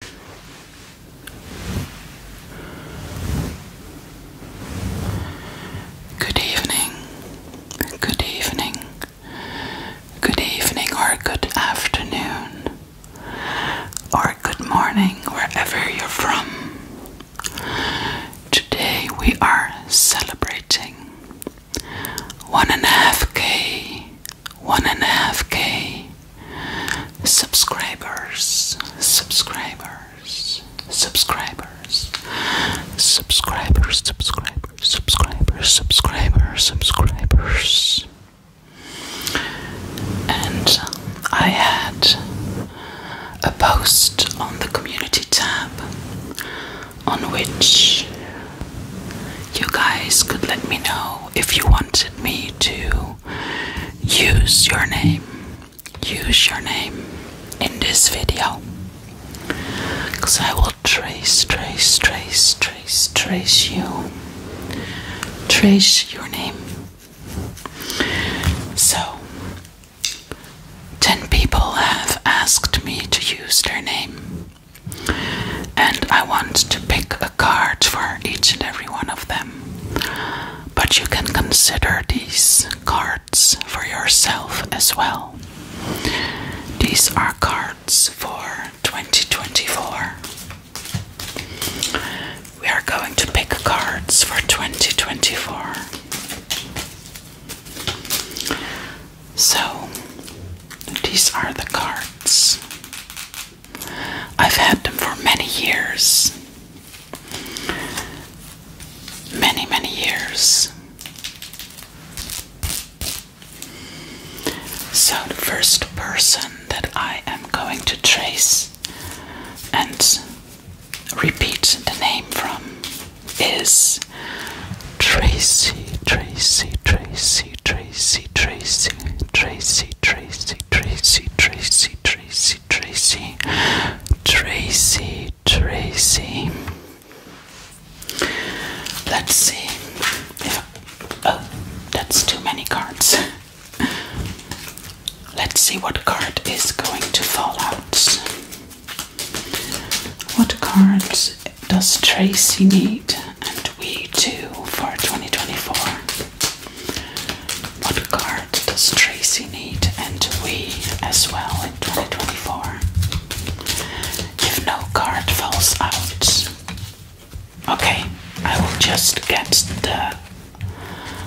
Good evening, good evening, good evening, or good afternoon, or good morning, wherever you're from. Today we are celebrating one and a half K one and a half K subscribers, subscribers, subscribers, subscribers, subscribers, subscribers, subscribers, subscribers. And um, I had a post on the community tab on which you guys could let me know if you wanted me to use your name use your name in this video because I will trace trace trace trace trace you trace your name so 10 people have asked me to use their name and I want to pick a card for each and every one of them but you can consider these cards for yourself as well. These are cards for 2024. We are going to pick cards for 2024. So, these are the cards. I've had them for many years. Many, many years. So, the first person that I am going to trace and repeat the name from is Tracy, Tracy, Tracy, Tracy. Tracy, Tracy, Tracy, Tracy, Tracy, Tracy, Tracy, Tracy, Tracy, Tracy. Let's see. If, oh, that's too many cards. Let's see what card is going to fall out. What cards does Tracy need and we do for 2024? What card does Tracy need and we as well in 2024? If no card falls out. Okay, I will just get the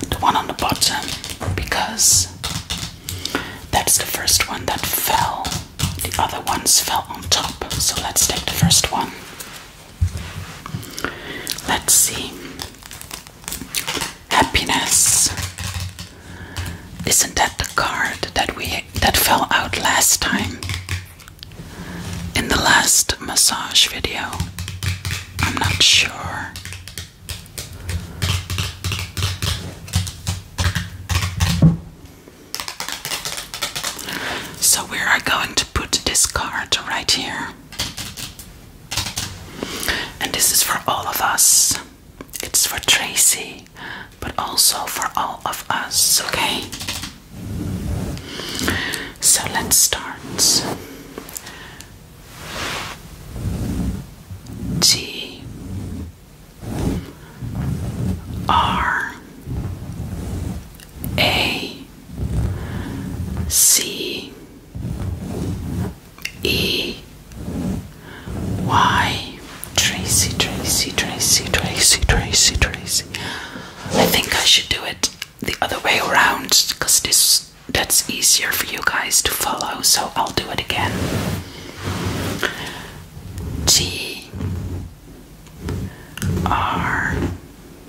the one on the bottom because that's the first one that fell. The other ones fell on top. So let's take the first one. Let's see. Happiness. Isn't that the card that we that fell out last time? In the last massage video. I'm not sure. So we are going to put this card right here. And this is for all of us. It's for Tracy, but also for all of us, okay? So let's start. T R A C E Y Tracy, Tracy, Tracy, Tracy, Tracy, Tracy. I think I should do it the other way around because this that's easier for you guys to follow, so I'll do it again. T R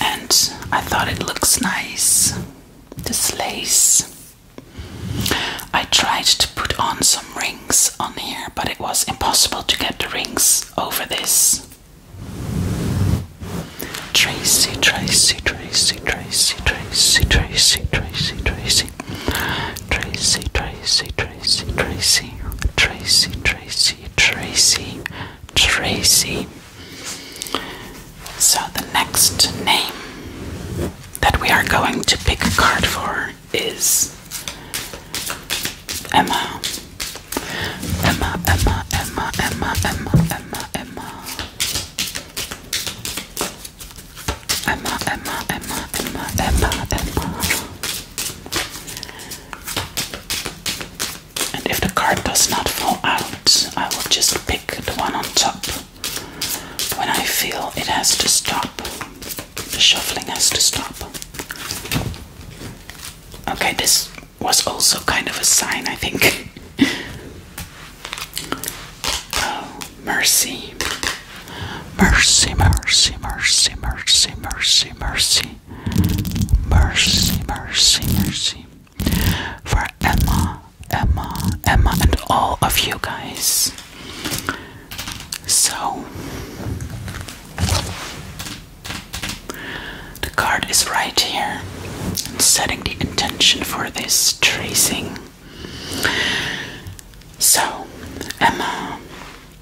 And I thought it looks nice. This lace. I tried to put on some rings on here, but it was impossible to get the rings over this. Tracy, Tracy, Tracy, Tracy, Tracy, Tracy, Tracy, Tracy, Tracy, Tracy, Tracy, Tracy, Tracy, Tracy, Tracy, Tracy, Tracy. So the next name that we are going to pick a card for is Emma. Emma, Emma, Emma, Emma, Emma, Emma, Emma. Emma, Emma, Emma, Emma, Emma, Emma. And if the card does not fall out, I will just pick the one on top when I feel it has to stop. The shuffling has to stop. Okay, this was also kind of a sign, I think. oh, mercy. Mercy, mercy, mercy, mercy, mercy, mercy. Mercy, mercy, mercy. For Emma, Emma, Emma, and all of you guys. So, the card is right here. i setting the intention for this tracing. So, Emma,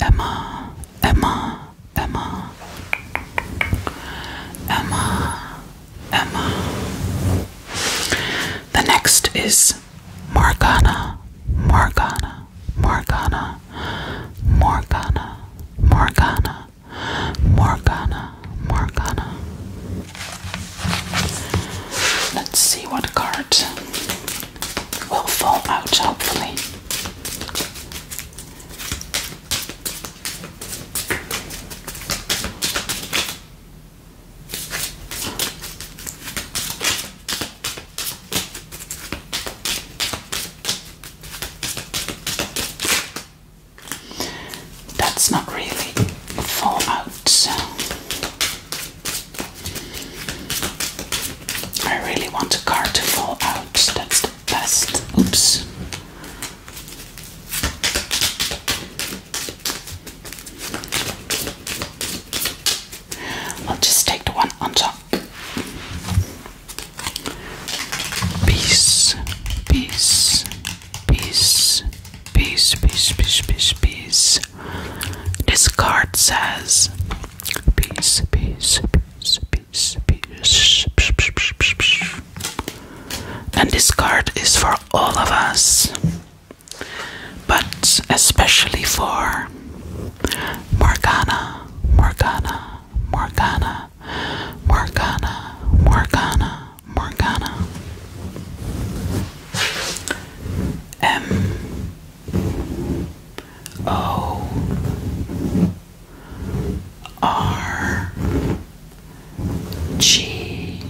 Emma, Emma, Emma, Emma, Emma. The next is Morgana, Morgana, Morgana, Morgana, Morgana, Morgana, Morgana. Let's see what card will fall out, hopefully. That's not really fallout. I really want a car to fall out. That's the best. Oops. I'll just take the one on top. Peace, peace, peace, peace, peace, peace, peace, peace. This card says peace, peace, peace, peace peace, peace. And this card is for all of us, but especially for Morgana, Morgana, Morgana, Morgana, Morgana, Morgana. M O R G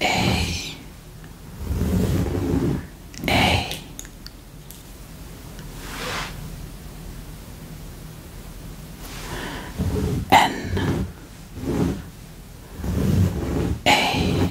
A A N A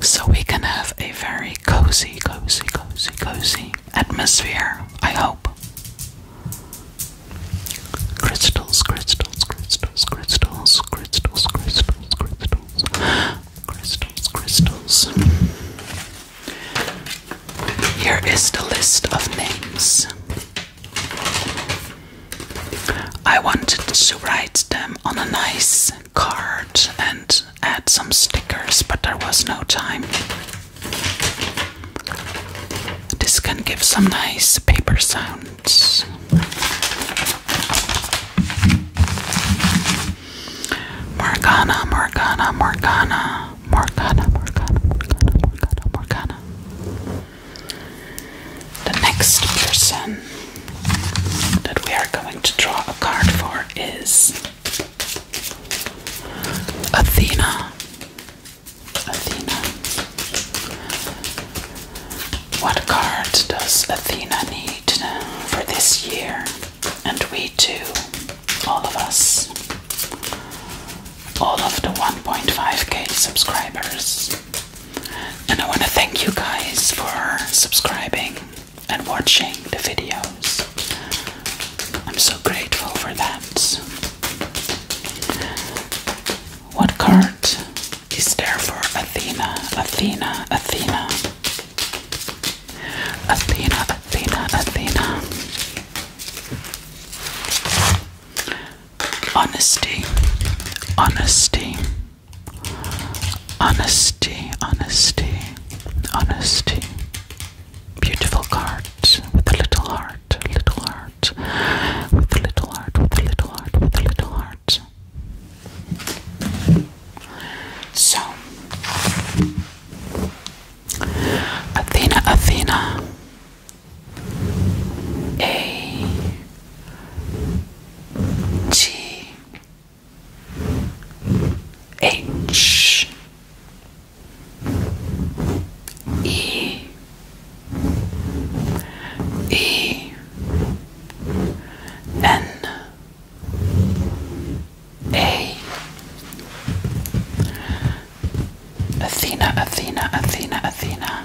so we can have a very cozy, cozy, cozy, cozy atmosphere, I hope. Crystals, crystals, crystals, crystals, crystals, crystals, crystals, crystals, Here is the list of names. I wanted to write them on a nice card and add some stickers, but there was no time. This can give some nice paper sounds. Morgana, Morgana, Morgana, Morgana, Morgana, Morgana, Morgana, Morgana. The next person that we are going to draw a card for is Athena. Athena. What card does Athena need for this year? And we too, all of us, all of the 1.5k subscribers. And I want to thank you guys for subscribing and watching the videos. I'm so grateful for that. What card is there for Athena? Athena, Athena. Athena, Athena, Athena. Honesty, honesty. Honesty, honesty, honesty. Beautiful cards with a little heart, little heart, with a little heart, with a little heart, with a little heart. So, Athena, Athena, a G H E E N A Athena, Athena, Athena, Athena.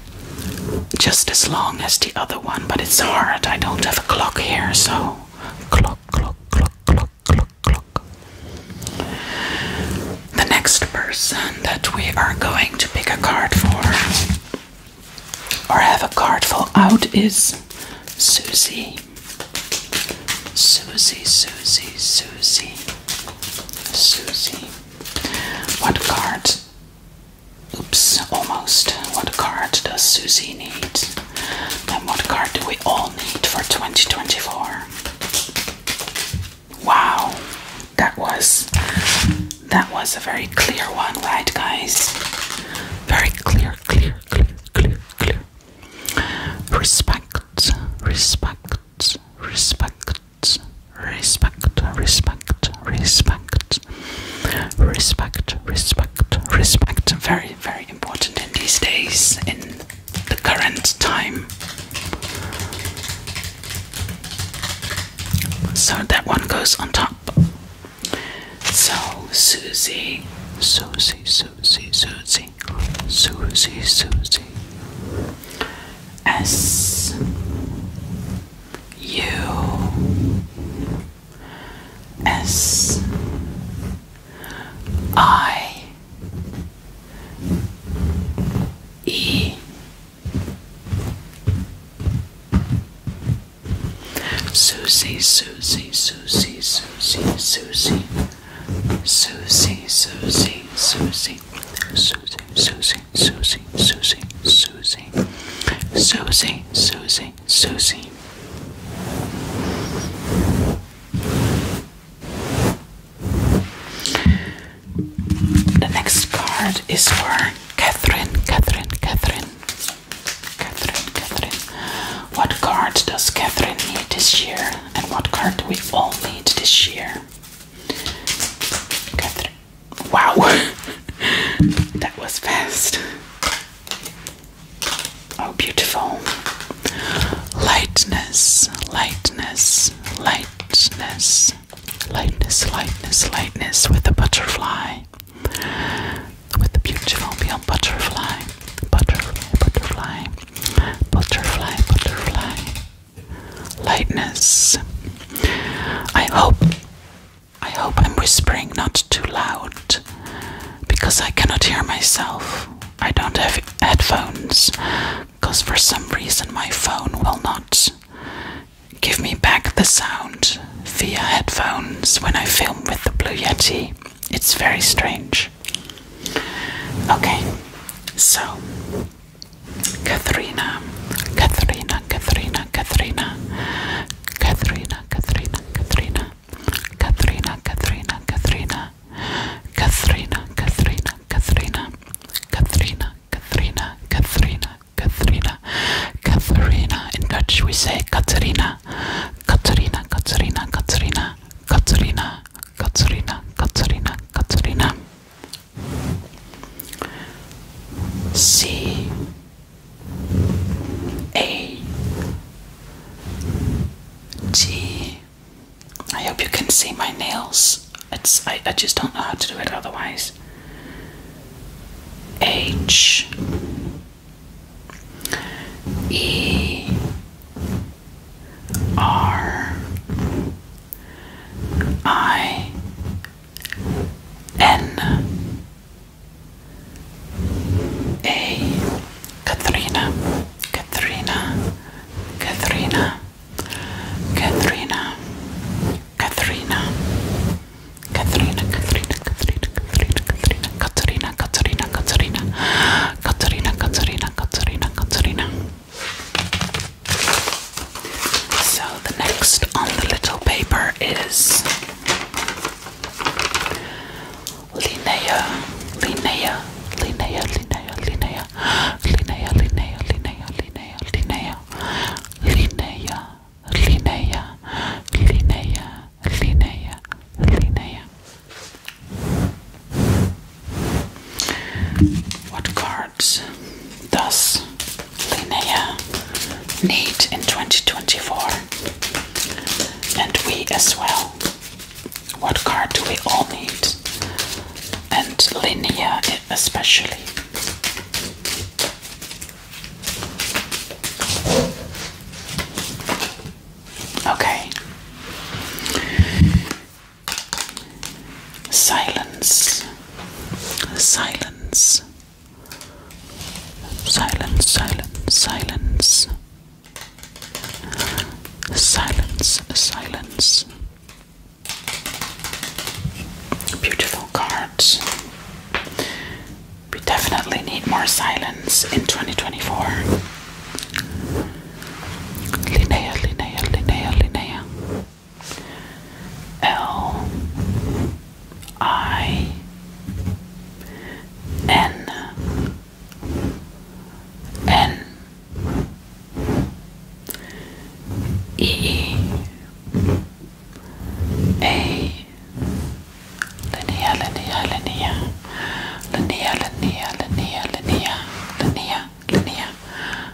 just as long as the other one, but it's hard. I don't have a clock here, so clock, clock, clock, clock, clock, clock. The next person that we are going to pick a card for or have a card for out is Susie. Susie, Susie, Susie, Susie. What card? Oops, almost. What card does Susie need? and what card do we all need for 2024? Wow, that was that was a very clear one, right guys? Very clear, clear, clear, clear, clear. Respect, respect, respect, respect, respect, respect, respect, respect, respect. Very, very important in these days, in the current time. So that one goes on top. So Susie, Susie, Susie, Susie, Susie, Susie. S U S I E Susie, Susie, Susie, Susie, Susie, Susie, Susie, Susie, Susie, Susie, Susie, Susie, Susie, Susie, Susie, Susie. The next card is for Catherine, Catherine, Catherine, Catherine, Catherine. What card does Catherine need this year, and what card do we all need this year? Catherine, Wow, that was fast. Oh, beautiful. Lightness, lightness, lightness, lightness, lightness, lightness with a butterfly. With a beautiful beyond butterfly, butterfly, butterfly, butterfly, butterfly lightness. I hope I hope I'm whispering not too loud because I cannot hear myself. I don't have headphones because for some reason my phone will not give me back the sound via headphones when I film with the Blue Yeti. It's very strange. Okay, so Katharina, Katharina, Katharina, Katharina, Katharina, Katharina, Katharina, Katharina, Katharina, Katharina, Katharina, Katharina, Katharina, Katharina, Katharina, Katharina, Katharina, Katharina. In Dutch we say Katharina, Katharina, Katharina, Katharina, Katharina, Katharina, Katharina, Katharina. C A G. I hope you can see my nails. It's I, I just don't know how to do it otherwise. H E R I N A Katharina, Katharina, Katrina, Katrina, Katrina, Katrina, Katrina, Katrina, Katrina, Katrina, Katrina, Katrina, Katrina, Katrina, Katrina, Katrina, Katrina, Katrina, So, the next on the little paper is Linnea, Linnea, Linnea, Linnea, Linnea, Linnea, Linnea, Linnea, Linnea, Linnea, Linnea, Linnea, What card cards does Linnea need in 2024? And we as well. What card do we all need? And Linnea especially. Okay. Silence. Silence. Silence, silence, silence. Silence, silence. Beautiful cards. We definitely need more silence in 2024. Linnea, Linnea, Linnea, Linnea. L I N N E A Linnea, Linnea, Linnea, Linnea, Linnea, Linnea, Linnea, Linnea, linnea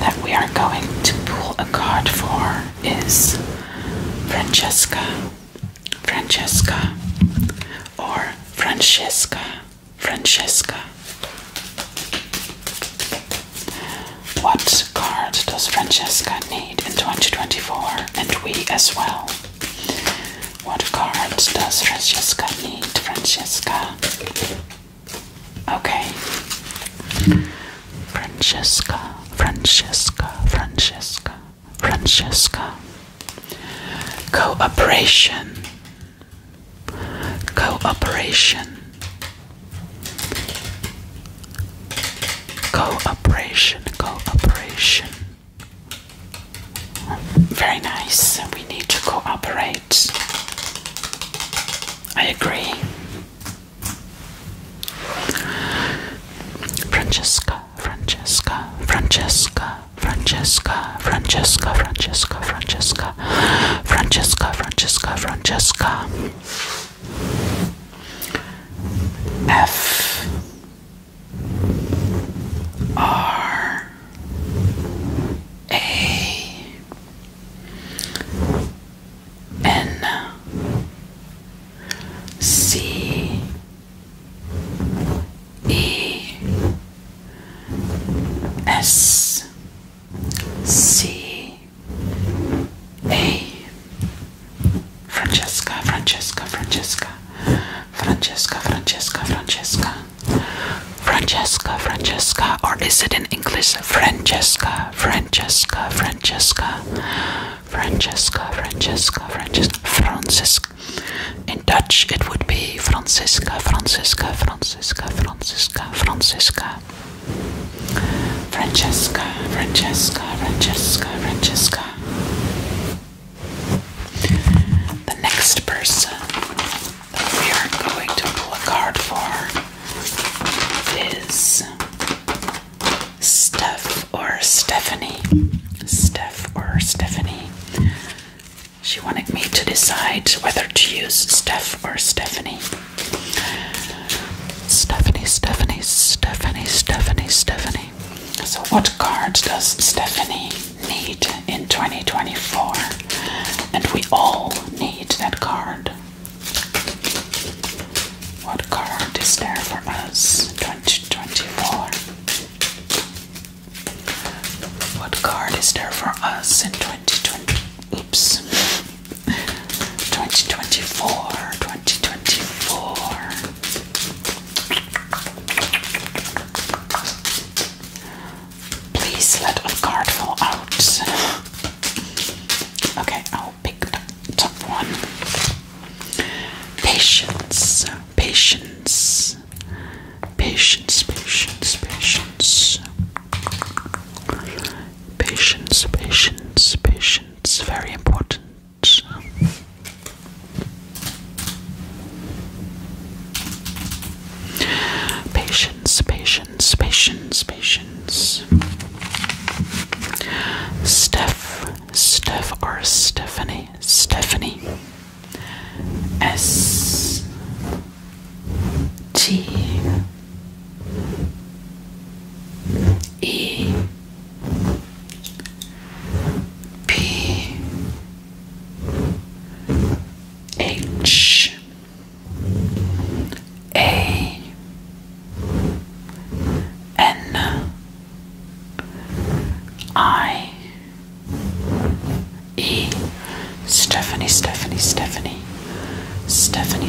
that we are going to pull a card for is Francesca, Francesca, or Francesca, Francesca. What card does Francesca need in 2024 and we as well? What card does Francesca need? Francesca. Okay. Francesca, Francesca, Francesca, Francesca. Cooperation. Cooperation. Cooperation, cooperation. Very nice. We need to cooperate. I agree. Francesca, Francesca, Francesca, Francesca, Francesca, Francesca, Francesca, Francesca, Francesca, Francesca. F R A N C E S C A Francesca, Francesca, Francesca, Francesca, Francesca, Francesca, Francesca, Francesca, or is it in English Francesca? Francesca, Francesca, Francesca, Francesca, Francesca, Francisca. In Dutch, it would be Francisca, Francisca, Francisca, Francisca, Francisca, Francesca, Francesca, Francesca, Francesca. The next person that we are going to pull a card for is Steph or Stephanie. Steph or Stephanie. She wanted me to decide whether to use Steph or Stephanie. Stephanie, Stephanie, Stephanie, Stephanie, Stephanie. So, what card does Stephanie need in 2024? And we all need that card. What card is there for us? in 2024. What card is there for us in 2020? Oops. 2024. 2024. Please let a card fall out. okay, pick the top one. Patience, patience, patience, patience, patience, patience, patience, patience. Very important. Patience, patience. Patience, patience, Steph, Steph or Stephanie, Stephanie. S T E P H A N I E Stephanie, Stephanie, Stephanie, Stephanie, Stephanie,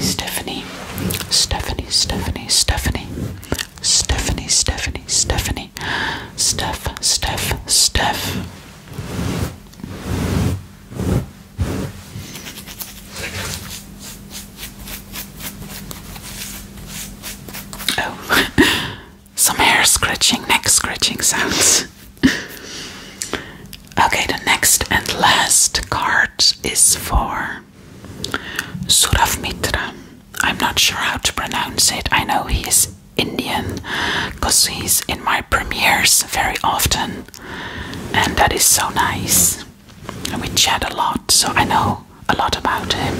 Stephanie, Stephanie, Stephanie, Stephanie, Steph, Steph, Steph. Oh. some hair scratching, neck scratching sounds. okay, the next and last card is for Surav Mitra. I'm not sure how to pronounce it. I know he is Indian because he's in my premiers very often, and that is so nice and we chat a lot, so I know a lot about him,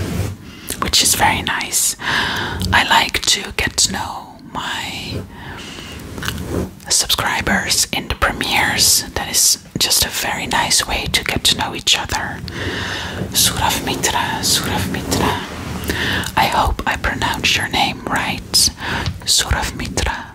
which is very nice. I like to get to know my subscribers in the premieres, that is just a very nice way to get to know each other. Surav Mitra, Surav Mitra. I hope I pronounce your name right. Surav Mitra.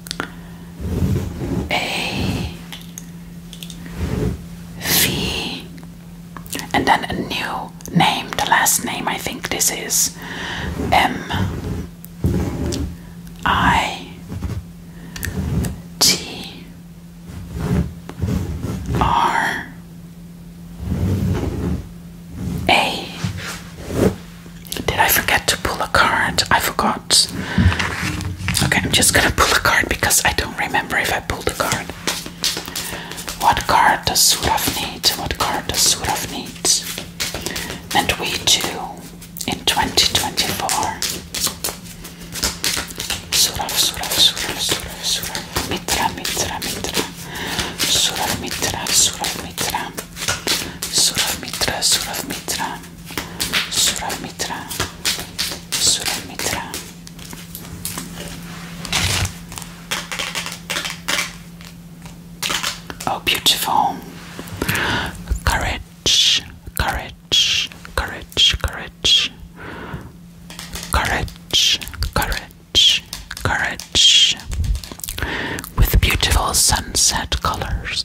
a V and then a new name, the last name I think this is M I T R A did I forget to pull a card? I forgot. Okay, I'm just gonna pull a card because I don't remember if I pulled a card. What card does Suraf need? What card does Suraf need? And we too in 2024. Suraf, Suraf, Suraf, Suraf, Suraf. Mitra, Mitra, Mitra. Suraf, Mitra, Suraf, Mitra. Suraf, Mitra, Suraf, Mitra. Suramitra, Suramitra. Oh, beautiful. Courage, courage, courage, courage. Courage, courage, courage. With beautiful sunset colors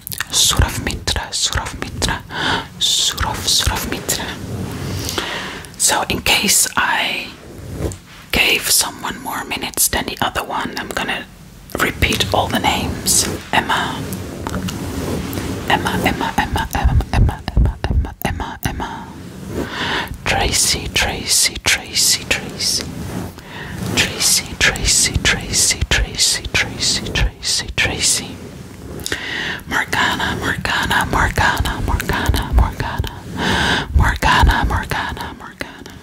Surav Mitra, Surav Mitra, Surav, Surav Mitra. So, in case I gave someone more minutes than the other one, I'm gonna repeat all the names Emma, Emma, Emma, Emma, Emma, Emma, Emma, Emma, Emma, Emma, Tracy, Tracy, Tracy, Tracy, Tracy, Tracy, Tracy, Tracy, Tracy, Tracy, Tracy. Morgana, Morgana, Morgana, Morgana, Morgana, Morgana, Morgana, Morgana.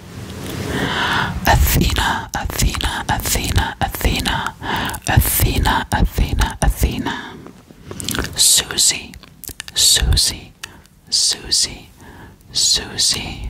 Athena, Athena, Athena, Athena, Athena, Athena, Athena. Susie, Susie, Susie, Susie.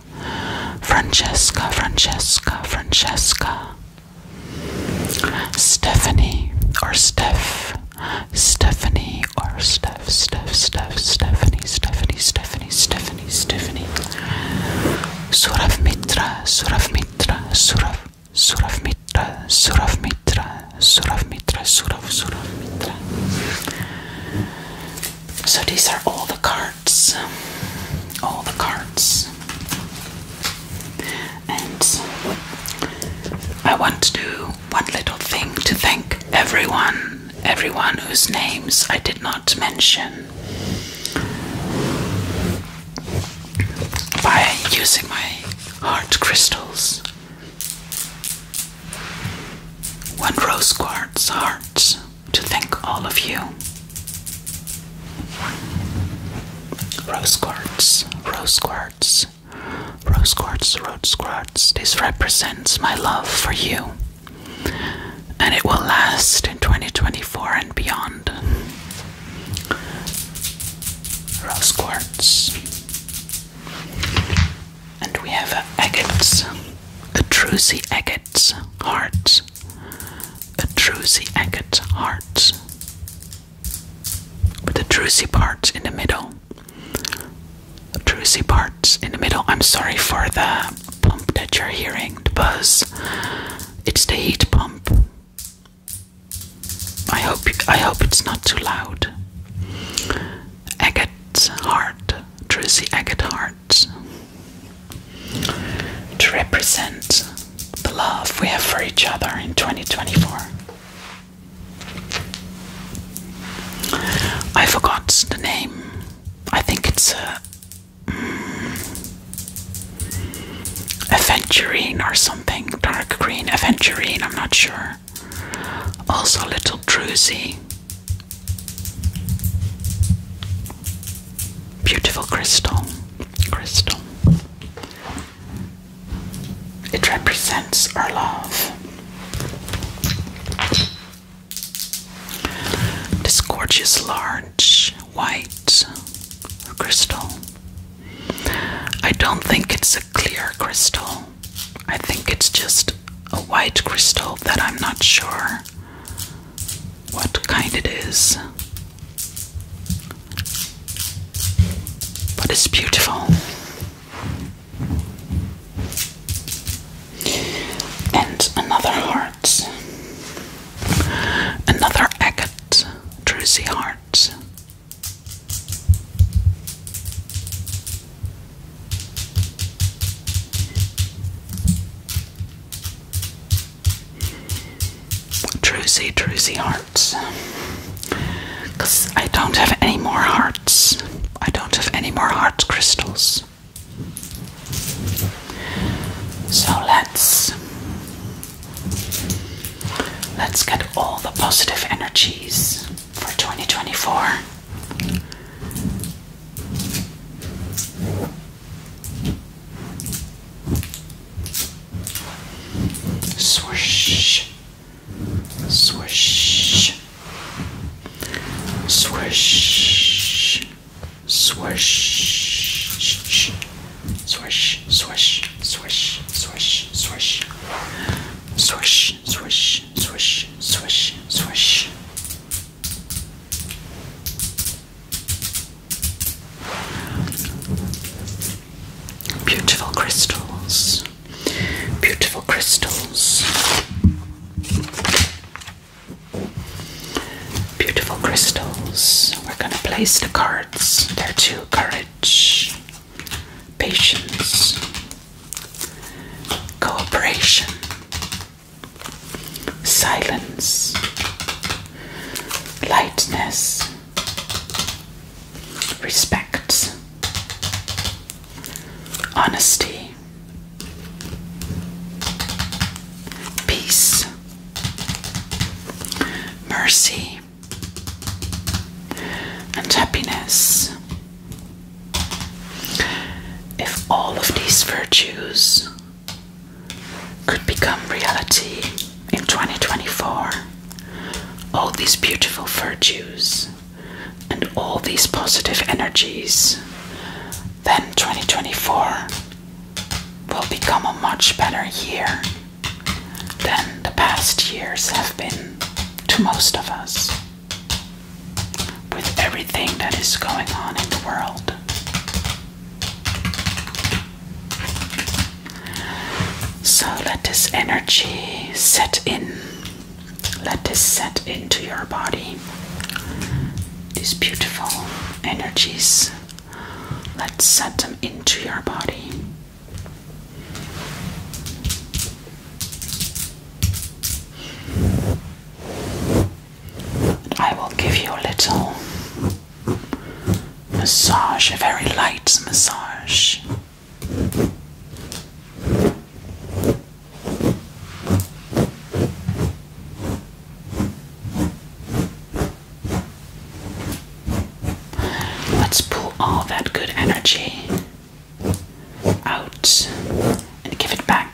Francesca, Francesca, Francesca. Stephanie or Steph, Stephanie or Steph, Steph, Steph, Stephanie, Stephanie, Stephanie, Stephanie, Stephanie. Surav Mitra, Surav Mitra, Surav, Surav Surav Mitra, Surav Mitra, Surav, Surav Mitra. So these are all the cards, all the cards, and I want to do one little thing to thank everyone, everyone whose names I did not mention by using my heart crystals. One rose quartz heart, to thank all of you. Rose quartz, rose quartz, rose quartz, rose quartz. This represents my love for you, and it will last in 2024 and beyond. Rose quartz. And we have uh, agates, atrusy agates, hearts, atrusy agate hearts, with atrusy parts in the middle. Atrusy parts in the middle. I'm sorry for the pump that you're hearing, the buzz. It's the heat pump. I hope I hope it's not too loud. Agate heart. Tracy Agathart to represent the love we have for each other in 2024. I forgot the name. I think it's a mm, aventurine or something, dark green aventurine. I'm not sure. Also, little druzy Beautiful crystal. Crystal. It represents our love. This gorgeous, large, white crystal. I don't think it's a clear crystal. I think it's just a white crystal that I'm not sure what kind it is. But it's beautiful. And another heart. Another agate Druzy heart. Druzy, Druzy hearts. Because I don't have any more hearts. I don't have any more heart crystals. So let's let's get all the positive energies for 2024 Swish, swish, swish, swish, swish, swish, swish, swish, swish, swish, swish, swish, swish, swish, swish. Beautiful crystals, beautiful crystals, beautiful crystals. We're going to place the cards. There are two courage, patience, cooperation, silence, lightness, respect, honesty, peace, mercy, and happiness. If all of these virtues could become reality in 2024. All these beautiful virtues and all these positive energies, then 2024 will become a much better year than the past years have been to most of us with everything that is going on in the world. So let this energy set in. Let this set into your body. These beautiful energies, let's set them into your body. I will give you a little massage, a very light massage. Let's pull all that good energy out and give it back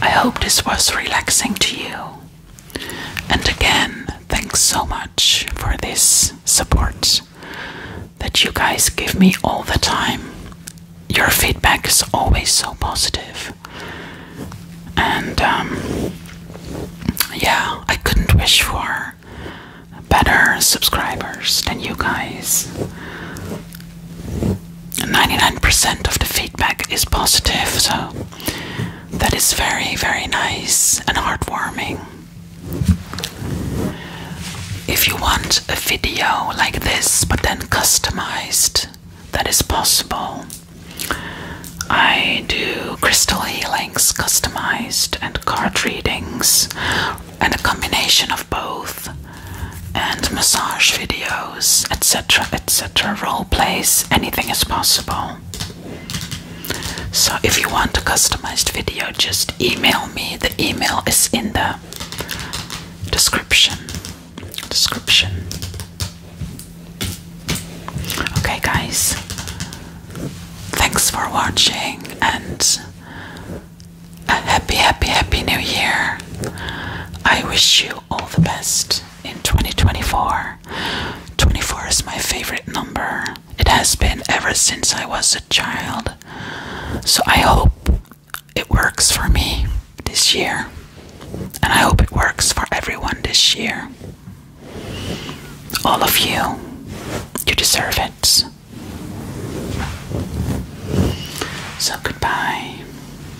I hope this was relaxing to you. And again, thanks so much for this support that you guys give me all the time. Your feedback is always so And um, yeah, I couldn't wish for better subscribers than you guys. 99% of the feedback is positive, so that is very, very nice and heartwarming. If you want a video like this but then customized, that is possible. I do crystal healings customized and card readings and a combination of both and massage videos, etc., etc., role plays, anything is possible. So, if you want a customized video, just email me. The email is in the description. Description. Okay, guys. Thanks for watching and a happy, happy, happy new year. I wish you all the best in 2024. 24 is my favorite number. It has been ever since I was a child. So I hope it works for me this year. And I hope it works for everyone this year. All of you, you deserve it. So goodbye.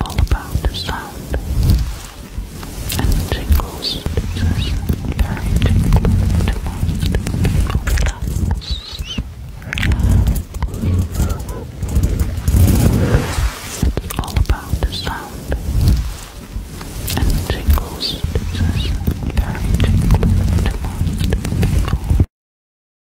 All about the sound and the tingles. It's very tingling to most people. It's all about the sound and the tingles. It's very tingling to most people.